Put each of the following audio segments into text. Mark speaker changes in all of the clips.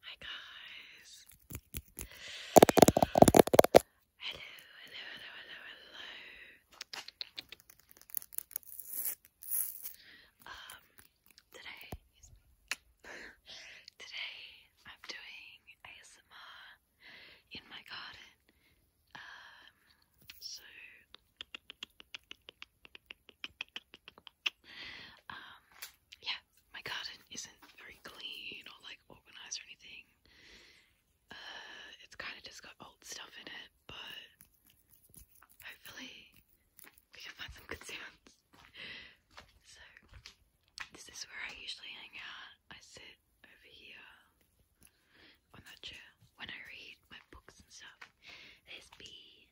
Speaker 1: Hi guys. Hello, hello, hello, hello, hello. Um today today I'm doing ASMR in my garden. Um so um, yeah, my garden isn't very clean or like organized or anything. Uh, it's kind of just got old stuff in it, but hopefully we can find some good sounds. so, this is where I usually hang out. I sit over here on that chair when I read my books and stuff. There's B.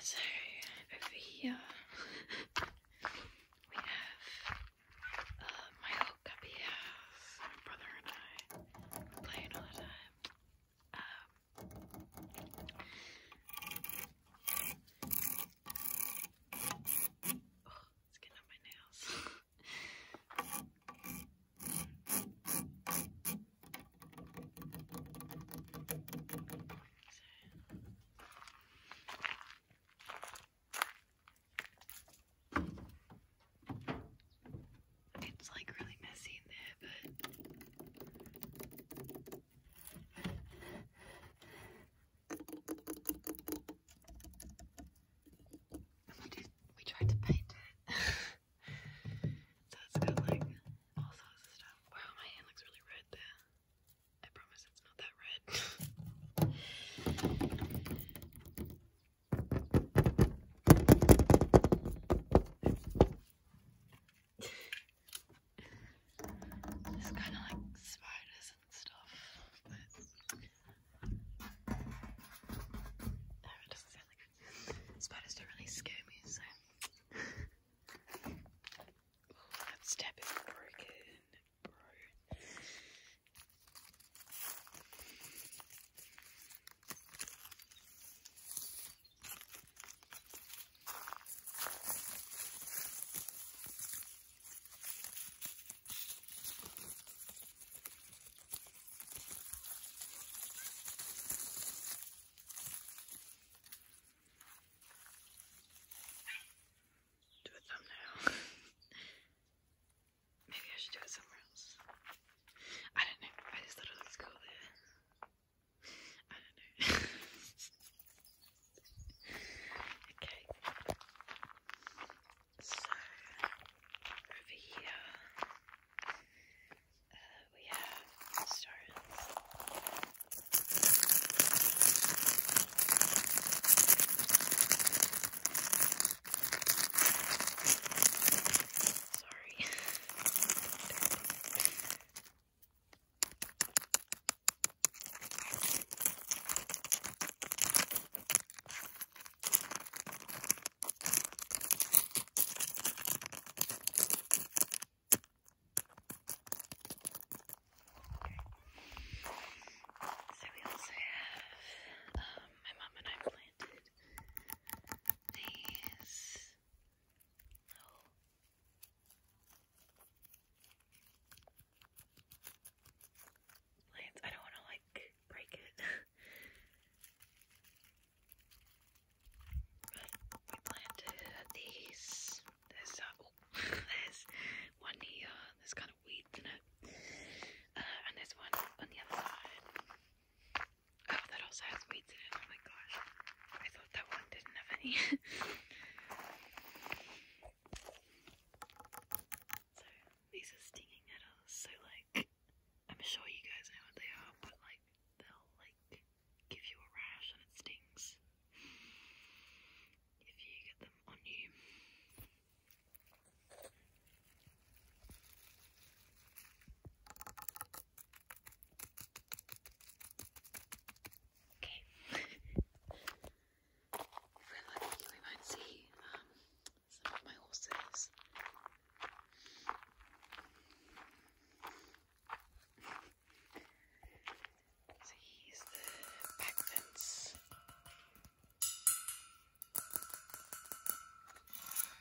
Speaker 1: So over here we have uh, my little cubby brother and I play all the time. Um, Oh, it's getting on my nails. It's like really messy in there, but we tried to paint it. so it's got like all sorts of stuff. Wow, my hand looks really red there. I promise it's not that red. It's kind of like spiders and stuff, but spiders don't really scare me, so. that step is broken, bro. Do a thumbnail. Maybe I should do it somewhere else. I don't know. I just thought it looks cool there. I don't know. okay. So over here we have restaurants. Sorry. So we also have, um, my mom and I planted these little Lance, I don't want to like break it. we planted these. There's uh, oh, there's one here. There's kind of weeds in it, and there's one on the other side. Oh, that also has weeds in it. Oh my gosh. I thought that one didn't have any. these are stinging nettles, so like I'm sure you guys know what they are, but like they'll like give you a rash and it stings if you get them on you. Okay. if we're lucky, we might see um, some of my horses. So he's the back fence.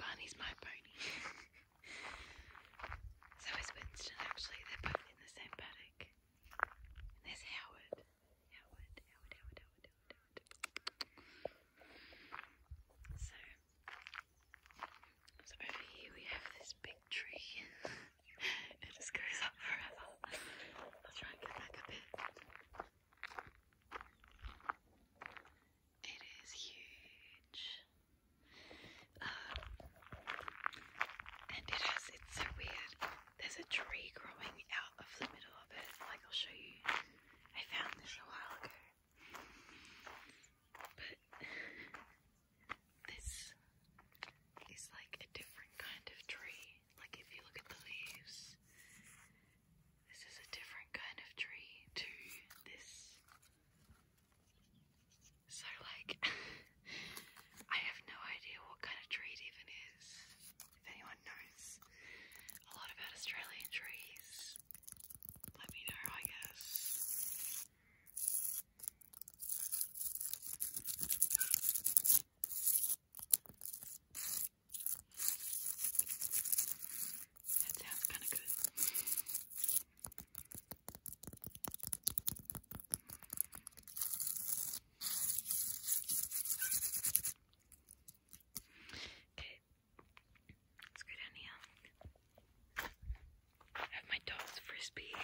Speaker 1: Barney's my pony. so is Winston actually, they're both in the same paddock. there's Howard. Howard, Howard, Howard, Howard, Howard, So, over here we have this big tree. it just goes up forever. I'll try and get back a bit. It is huge. Um, and it has, it's so weird. There's a tree growing out of the middle of it. Like, I'll show you. I found this a while ago. But this is like a different kind of tree. Like, if you look at the leaves, this is a different kind of tree to this so, like, I have no idea what kind of tree it even is. If anyone knows a lot about Australian trees, let me know, I guess. That sounds kind of good. Okay, let's go down here. I have my dog's frisbee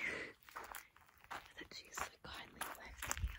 Speaker 1: that she's so kindly left here.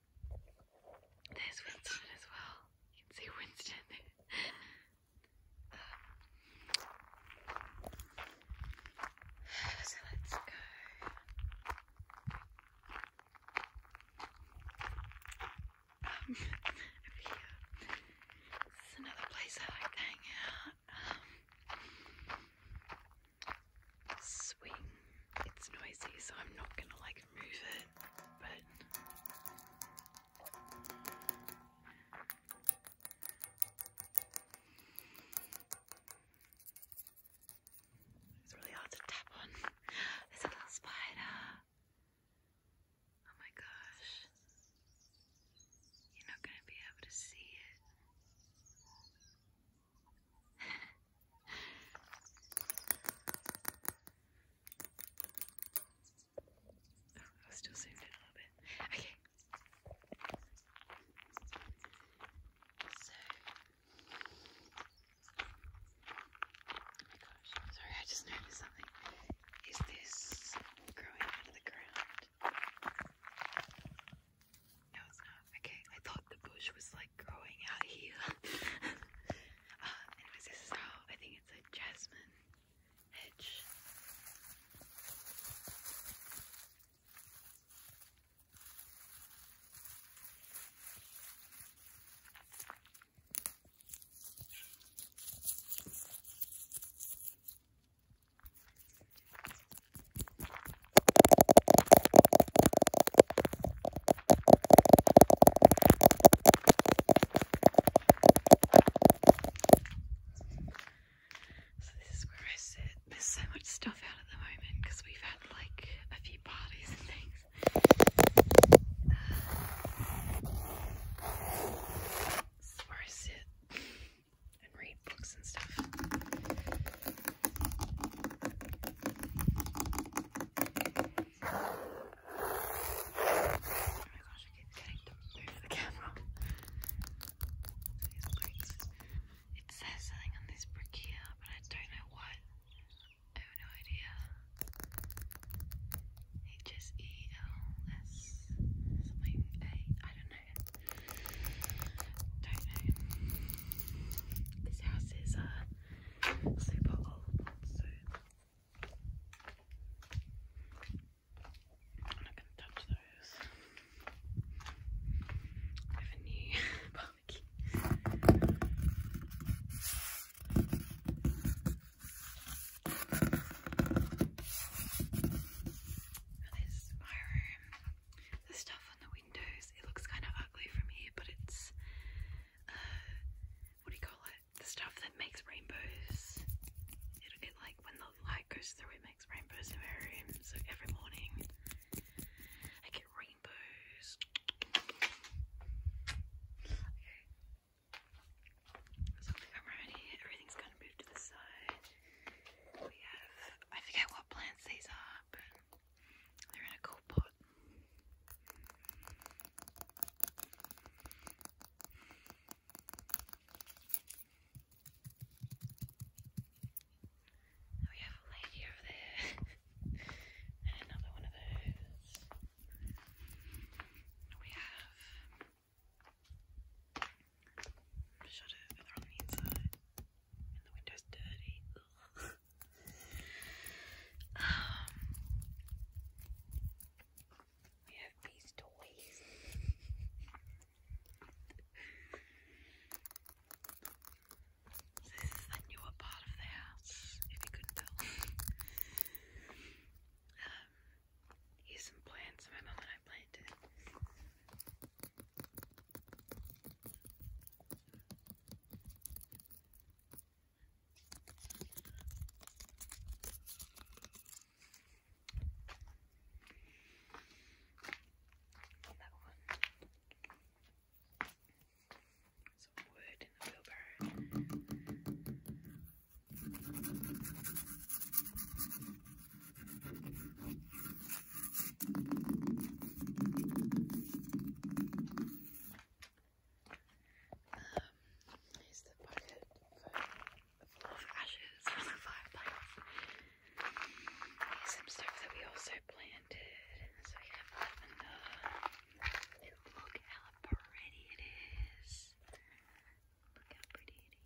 Speaker 1: There's Winston as well. You can see Winston. there. Uh, so let's go. Um, over here. This is another place I like to hang out. Um, swing. It's noisy, so I'm not gonna like move it it's really hard to tap on. There's a little spider. Oh my gosh. You're not going to be able to see it. Oh, I was still zoomed in a little bit. Okay. Oh my gosh, sorry, I just noticed something. Is this growing out of the ground? No, it's not. Okay, I thought the bush was like growing out here. Uh, anyways, this is how I think it's a jasmine hedge. So this is where I sit. There's so much stuff out at the moment because we've had like a few parties and things. Uh, I sit and read books and stuff. Oh gosh, I keep getting the camera. It says something on this brick here, but I don't know what. I have no idea. H-S-E-L-S something A. I don't know. Don't know. This house is uh super old I'm not going to touch those I have a new barbecue this is my room the stuff on the windows. It looks kind of ugly from here, but it's uh, what do you call it? The stuff that makes rainbows. It, like when the light goes through, it makes rainbows in my room. So every morning I get rainbows. Okay. So I'm around Everything's kind of moved to the side. We have I forget what plants these are, they're in a cool pot. we have a lady over there, and another one of those. We have. Shut it, they're on the inside. And the window's dirty. um, we have these toys. so this is the newer part of the house, if you couldn't tell. um, here's some plants my mum and I planted. That one. Some wood in the wheelbarrow here's the bucket of ashes from the fireplace. some stuff that we also planted. So we have lavender. look how pretty it is. Look how pretty it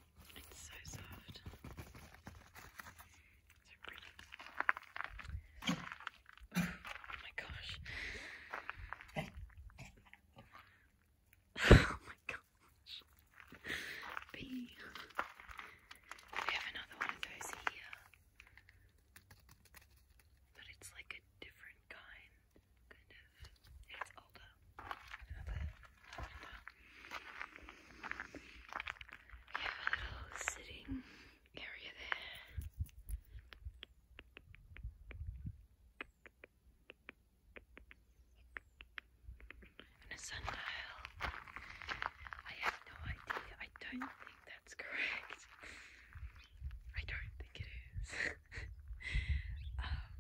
Speaker 1: It's so soft. So pretty. Oh my gosh. Oh my gosh. Bee. We have another one of those here. But it's like a different kind, kind of. It's older have a little sitting area there. And a sundial. I have no idea. I don't think that's correct. I don't think it is. Um,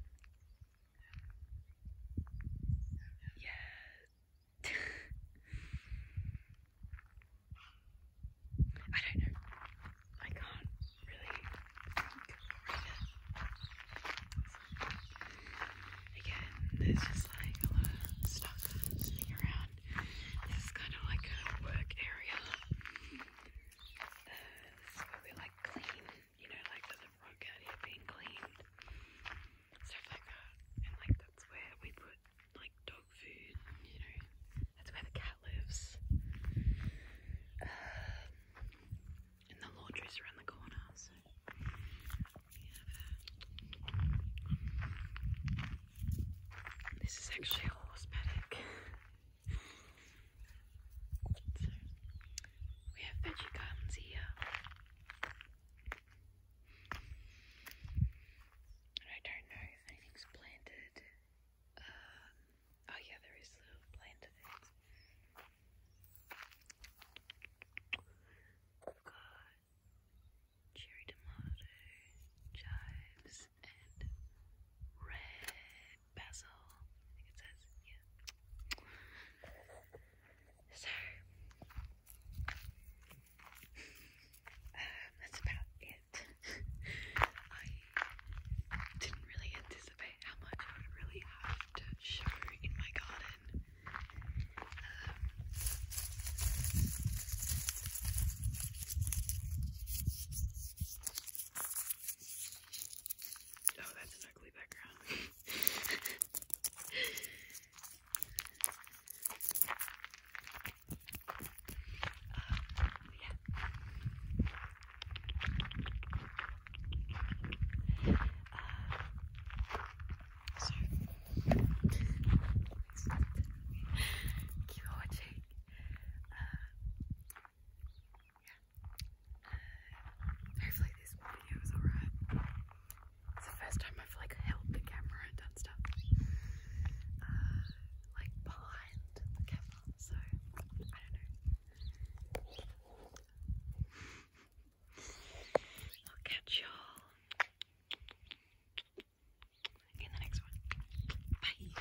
Speaker 1: Yes. I don't know. I can't really read Again, there's just like a lot stuff sitting around. This is kind of like a work area. this is where we like clean you know, like the front out here being cleaned, stuff like that. And like that's where we put like dog food, you know, that's where the cat lives. Um, and the laundry's around the corner, so This is actually a horse paddock we have veggie gardens here. I don't know anything's planted. Um, oh yeah, there is little planter We've got cherry tomato, chives, and red Basil. I think it says, yeah. So, um, that's about it. I didn't really anticipate how much I would really have to show in my garden. Um, Oh, that's an ugly background. um, yeah. Uh, so, keep watching. Uh, yeah hopefully this video is alright. It's the first time I've like held the camera and done stuff uh, like behind the camera, so I don't know. I'll catch y'all in the next one. Bye.